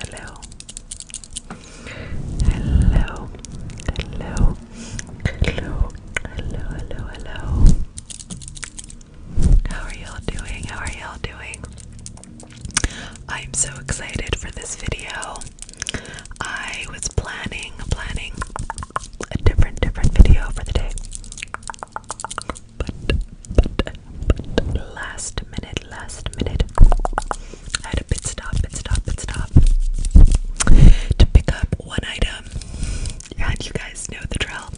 Hello. Hello. Hello. Hello. Hello. Hello. Hello. How are y'all doing? How are y'all doing? I'm so excited for this video. I was planning, planning a different, different video for the day but, but, but, last minute, last minute, I had a pit stop, pit stop, pit stop to pick up one item. And you guys know the drill.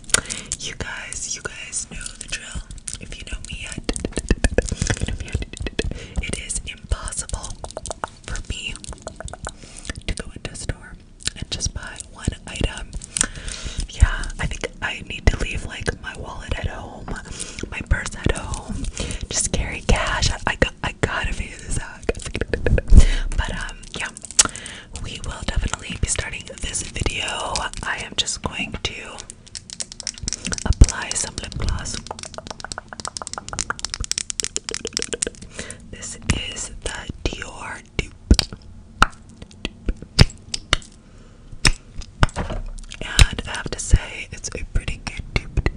You guys, you guys know the drill. If you know me it is impossible for me to go into store and just buy one item. Yeah, I think I need to leave like my wallet at home, my purse at home, just carry cash. I, I got I gotta figure this out. But um yeah, we will definitely be starting this video. I am just going to apply some lip gloss. This is the Dior and I have to say, it's a pretty good dupe.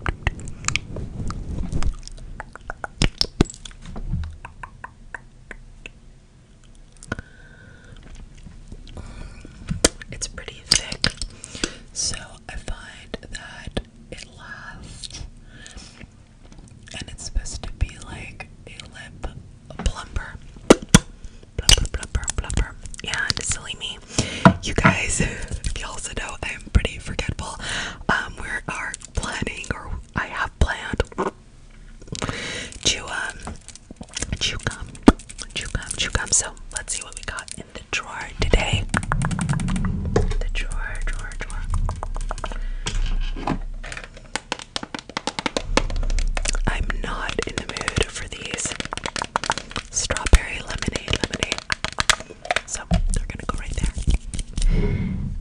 It's pretty thick, so I find that it lasts and it's supposed to be like a lip plumper. Blubber, blubber, blubber. And silly me, you guys, if you also know, I am pretty forgetful. Um, we are planning, or I have planned, to um, chew gum, chew gum, chew gum. So let's see what we got in the drawer today. The drawer, drawer, drawer. I'm not in the mood for these strawberry lemonade lemonade. So they're gonna go right there.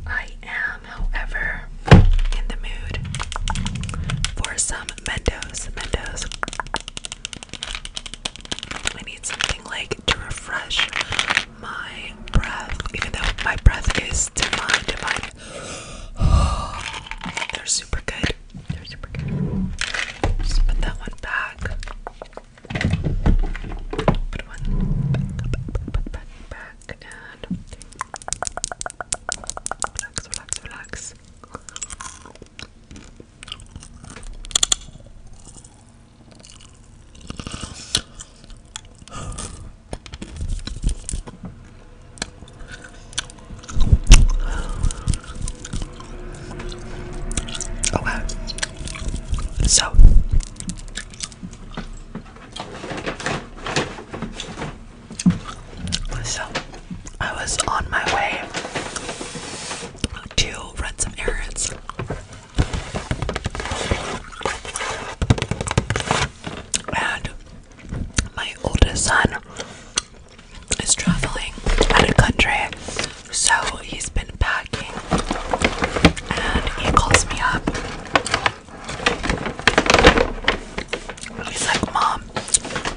I am, however, in the mood for some Mentos. Mentos. I need something like to refresh my breath, even though my breath is divine, divine, They're super good. They're super good. Just put that one back. Put one back, back, back, back, relax, relax, relax. Okay. So so I was on my way to run some errands. And my oldest son is traveling out of country, so he's been packing, and he calls me up. He's like, "Mom,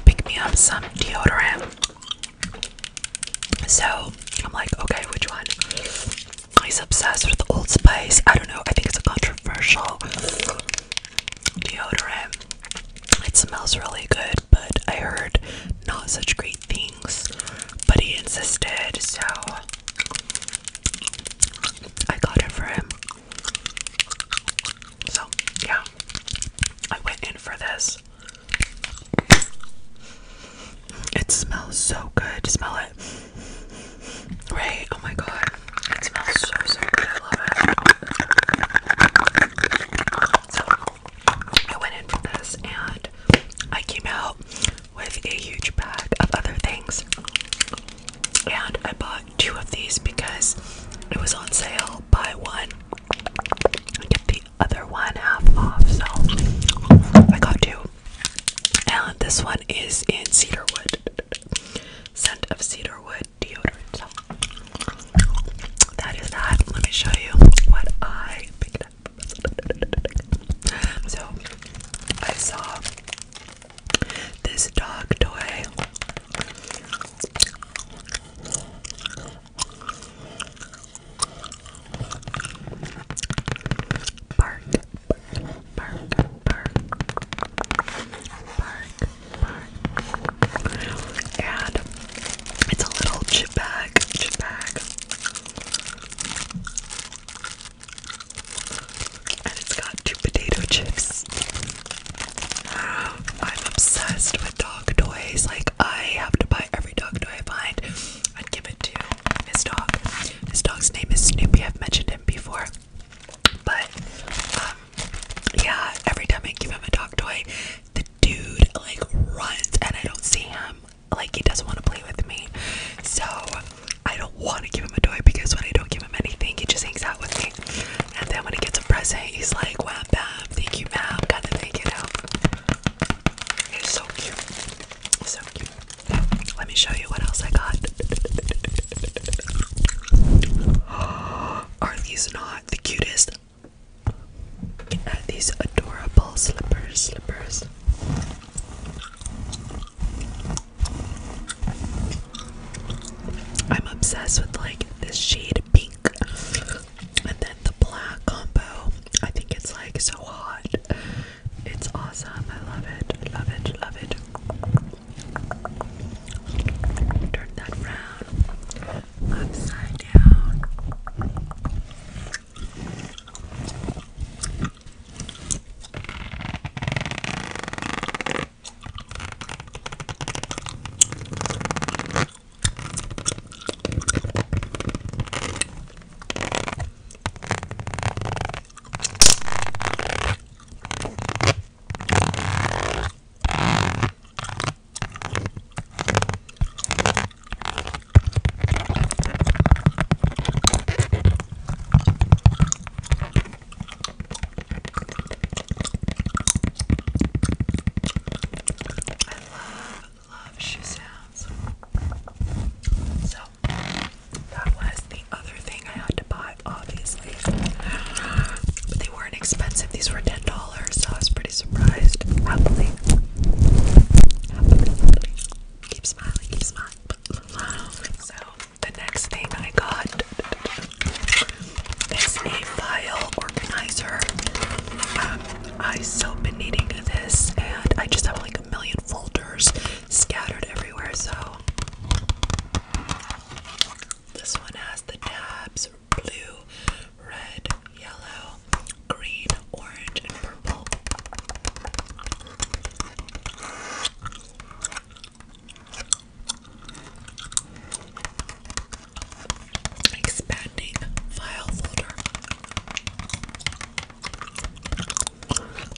pick me up some deodorant." So I'm like, "Okay, which one?" He's obsessed with Old Spice. I don't know. I think it's a controversial deodorant. It smells really good, but I heard not such great things. But he insisted, so I got it for him. So, yeah, I went in for this. It smells so good. Smell it. Right? Oh my god. It smells so, so good. I love it. I went in for this and I came out with a huge bag of other things. And I bought two of these because it was on sale. Buy one get the other one half off. So, I got two. And this one is in Cedarwood scent of cedar deodorant. That is that. Let me show you what I picked up. So I saw this dog toy. bark, and it's a little chip bag, chip bag. And it's got two potato chips. I'm obsessed with dog toys. Like, I have to buy every dog toy I find and give it to his dog. His dog's name is Snoopy. I've mentioned him before. But um, yeah, every time I give him a dog toy, the dude like runs and I don't see him. Like he doesn't want to play with me. So I don't want to give him a toy because when I don't give him anything, he just hangs out with me. And then when he gets a present, he's like, wow, bam, thank you, ma'am, got gotta thing, it out." It's so cute. So cute. Let me show you what else I got. Are these not the cutest? Are these adorable slippers? Slippers. I'm obsessed with like this shade pink and then the black combo. I think it's like so hot. It's awesome. I love it. Love it. Love it. Turn that round upside down. I love, love shoe sounds. So that was the other thing I had to buy obviously. But they weren't expensive. These were ten dollars, so I was pretty surprised. Happily, happily, Keep smiling, keep smiling. So the next thing I got is a file organizer. Um, I've so been needing this, and I just have like a million folders scattered everywhere. So this one has the tabs blue, red, yellow, green, orange, and purple. Expanding file folder.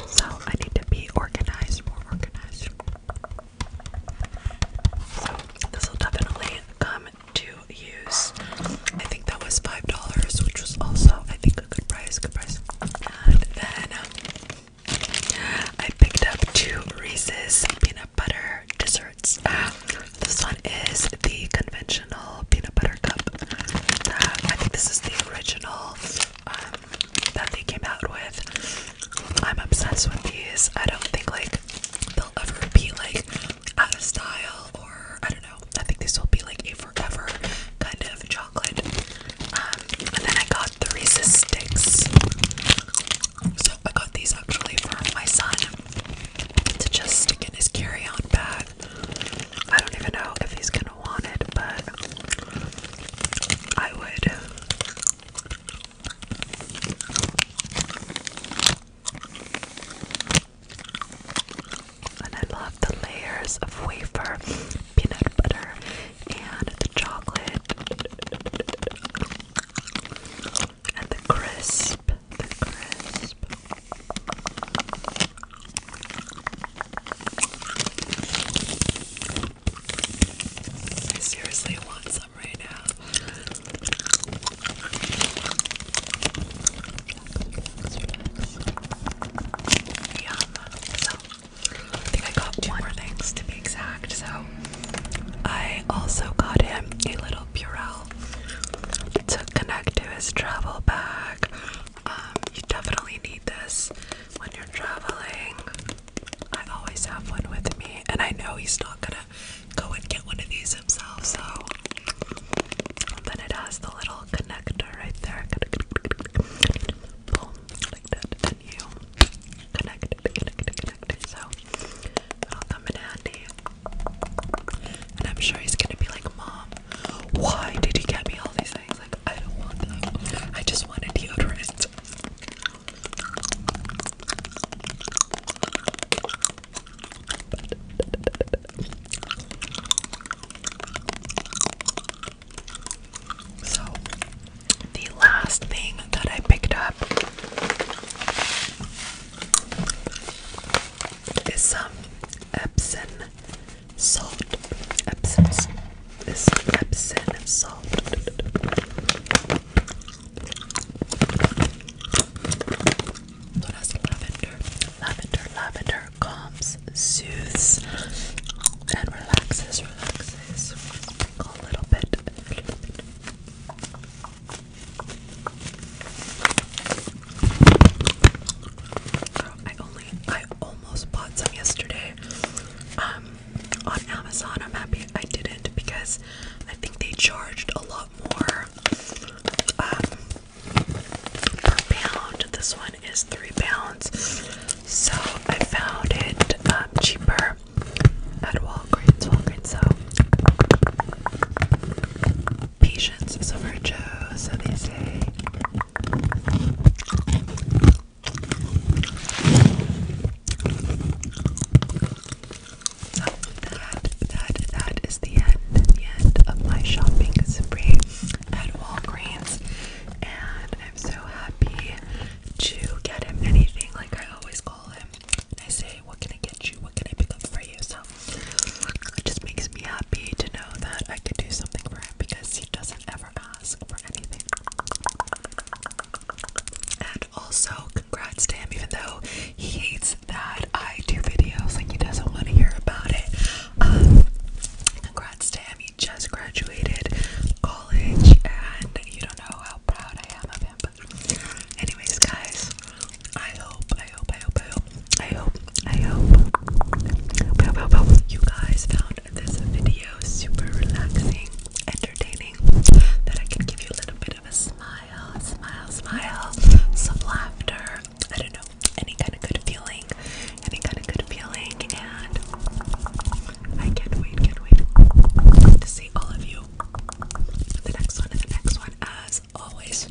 So I need to be organized, organized. So this will definitely come to use. I think that was five dollars, which was also I think a good price, good price. And then um, I picked up two Reese's peanut butter desserts. this one is the conventional peanut butter cup. Uh, I think this is the original um, that they came out with. I'm obsessed with these. I don't think like they'll ever be like out of style or I don't know. I think this will be like a forever kind of chocolate. Um, and then I got the Reese's sticks. So I got these actually for my son to just stick in his carry-on bag. I don't even know if he's gonna want it, but I would and I love the layers of wafer, peanut butter, and the chocolate, and the crisp, the crisp. I seriously want some right now. Yum. So, I think I got two more things to be exact. So, I also got him a little Purell to connect to his travel bag. Um, you definitely need this when you're traveling. I always have one with me, and I know he's not gonna go and get one of these himself, so. then it has the little connector right there. Boom, like and you connect, connect, connect. So, it'll come in handy. And I'm sure he's gonna be like, Mom, why did you get me all these things? Like, I don't want them. I just want a deodorant. So, the last thing that I picked up is some Epsom salt. Epsom, this Epsom salt. Lotus Lavender. Lavender, lavender calms, soothes, and relaxes, relaxes a little bit. I only, I almost bought some yesterday. Um, on Amazon. I'm happy I didn't because I think they charged a lot more um, per pound. This one is three pounds, so I found it um, cheaper at Walgreens. Walgreens, so patience is a virtue, so they say that, that, that is the end, the end of my shopping spree at Walgreens, and I'm so happy to get him anything. Like I always call him, and I say, "What can I get you? What can I pick up for you?" So it just makes me happy to know that I could do something for him because he doesn't ever ask for anything also, congrats to him, even though he hates that I do videos, like he doesn't want to hear about it. Um, congrats to he just graduated college, and you don't know how proud I am of him. anyways, guys, I hope, I hope, I hope, I hope, I hope, I hope, I hope, you guys found this video super relaxing entertaining that I can give you a little bit of a smile, smile, smile, some laughter. I don't know, any kind of good feeling, any kind of good feeling, and I can't wait, can't wait to see all of you. The next one, and the next one, as always.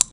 Bye.